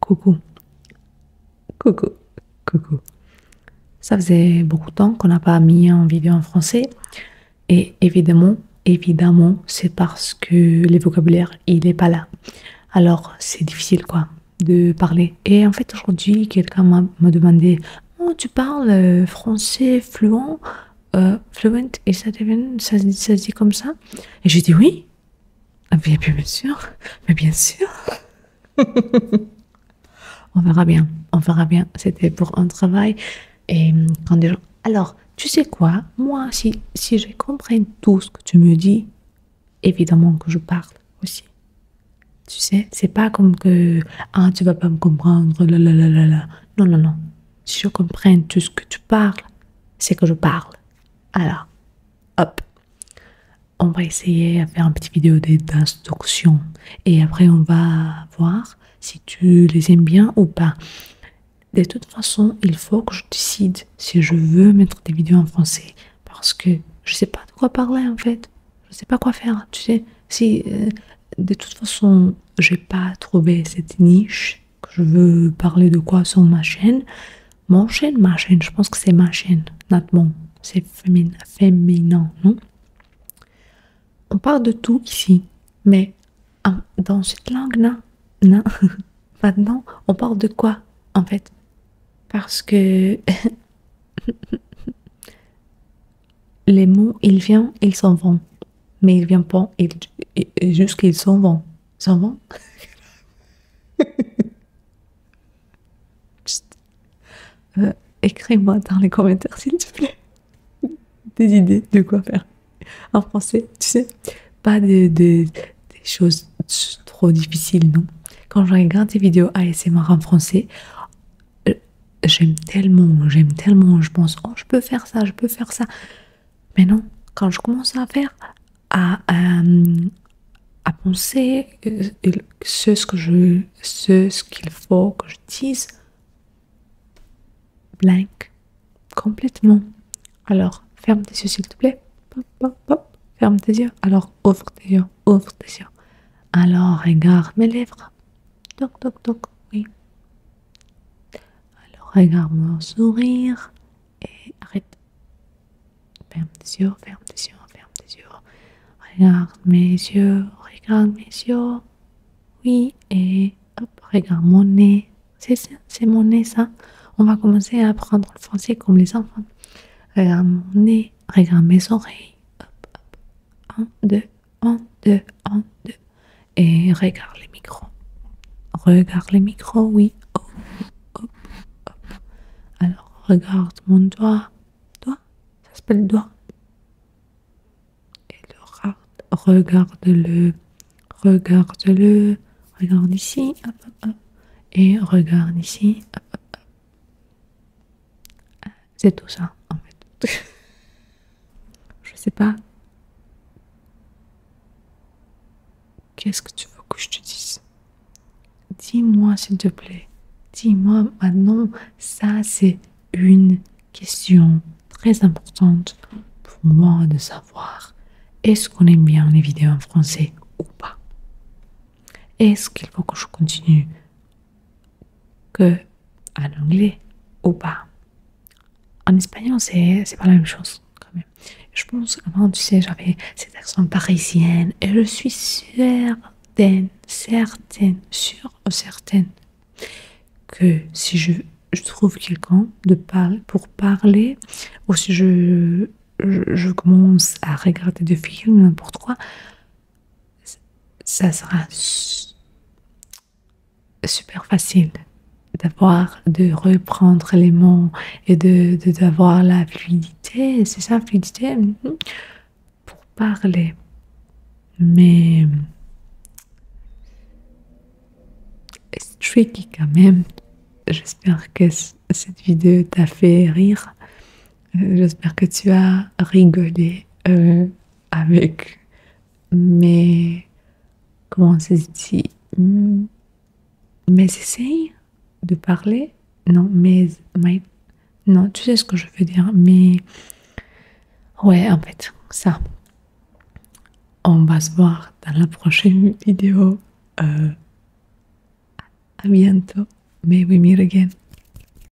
Coucou. Coucou. Coucou. Ça faisait beaucoup de temps qu'on n'a pas mis en vidéo en français. Et évidemment, évidemment, c'est parce que le vocabulaire, il n'est pas là. Alors, c'est difficile, quoi, de parler. Et en fait, aujourd'hui, quelqu'un m'a demandé oh, Tu parles euh, français fluent euh, Fluent Et ça, dit comme ça ?» Et j'ai dit « Oui !» Ah, bien, sûr, mais bien sûr. on verra bien, on verra bien. C'était pour un travail. Et euh, quand alors, tu sais quoi, moi, si, si je comprends tout ce que tu me dis, évidemment que je parle aussi. Tu sais, c'est pas comme que, ah, tu vas pas me comprendre, la la la la la. Non, non, non. Si je comprends tout ce que tu parles, c'est que je parle. Alors, hop, on va essayer à faire un petit vidéo d'instruction et après on va voir si tu les aimes bien ou pas. De toute façon, il faut que je décide si je veux mettre des vidéos en français parce que je sais pas de quoi parler en fait. Je sais pas quoi faire, tu sais. Si euh, de toute façon, j'ai pas trouvé cette niche je veux parler de quoi sur ma chaîne. Mon chaîne, ma chaîne, je pense que c'est ma chaîne, C'est féminin, féminin, non On parle de tout ici, mais dans cette langue, non, Maintenant, on parle de quoi, en fait Parce que les mots, ils viennent, ils s'en vont. Mais ils viennent pas, ils, juste s'en vont. C'est euh, Écris-moi dans les commentaires, s'il te plaît, des idées de quoi faire en français, tu sais. Pas de, des choses trop difficiles, non. Quand je regarde des vidéos ASMR en français, euh, j'aime tellement, j'aime tellement, je pense, oh, je peux faire ça, je peux faire ça. Mais non, quand je commence à faire, à, euh, à penser euh, ce, ce qu'il ce faut que je dise, blank, complètement. Alors, ferme tes yeux s'il te plaît. Ferme tes yeux. Alors, ouvre tes yeux, ouvre tes yeux. Alors, regarde mes lèvres. Toc, toc, toc, oui. Alors regarde mon sourire et arrête. Ferme tes yeux, ferme tes yeux, ferme tes yeux. Regarde mes yeux, regarde mes yeux. Oui, et hop, regarde mon nez. C'est c'est mon nez ça. On va commencer à apprendre le français comme les enfants. Regarde mon nez, regarde mes oreilles. Hop, hop. Un deux un deux 1, deux. Et regarde les micros. Regarde les micros, oui. Hop, Alors, regarde mon doigt. Doigt, ça s'appelle doigt. Et le regarde-le. Regarde-le. Regarde ici. Et regarde ici. C'est tout ça, en fait. Je sais pas. Qu'est-ce que tu veux que je te dise Dis-moi, s'il te plaît. Dis-moi maintenant, ça c'est une question très importante pour moi de savoir. Est-ce qu'on aime bien les vidéos en français ou pas Est-ce qu'il faut que je continue que en anglais ou pas. En espagnol, c'est pas la même chose quand même. Je pense, avant, tu sais, j'avais cet accent parisien et je suis certaine, certaine, sûre ou certaine que si je, trouve quelqu'un de pour parler ou si je, je, je commence à regarder des films, n'importe quoi, ça sera super facile d'avoir, de reprendre les mots et de d'avoir la fluidité, c'est ça, fluidité, mm-hmm, pour parler. Mais c'est tricky quand même. J'espère que cette vidéo t'a fait rire. Euh, j'espère que tu as rigolé. Euh, avec mes. Comment ça se dit Mes essais de parler Non, mes. My, non, tu sais ce que je veux dire, mais. Ouais, en fait, ça. On va se voir dans la prochaine vidéo. A euh, bientôt. May we meet again.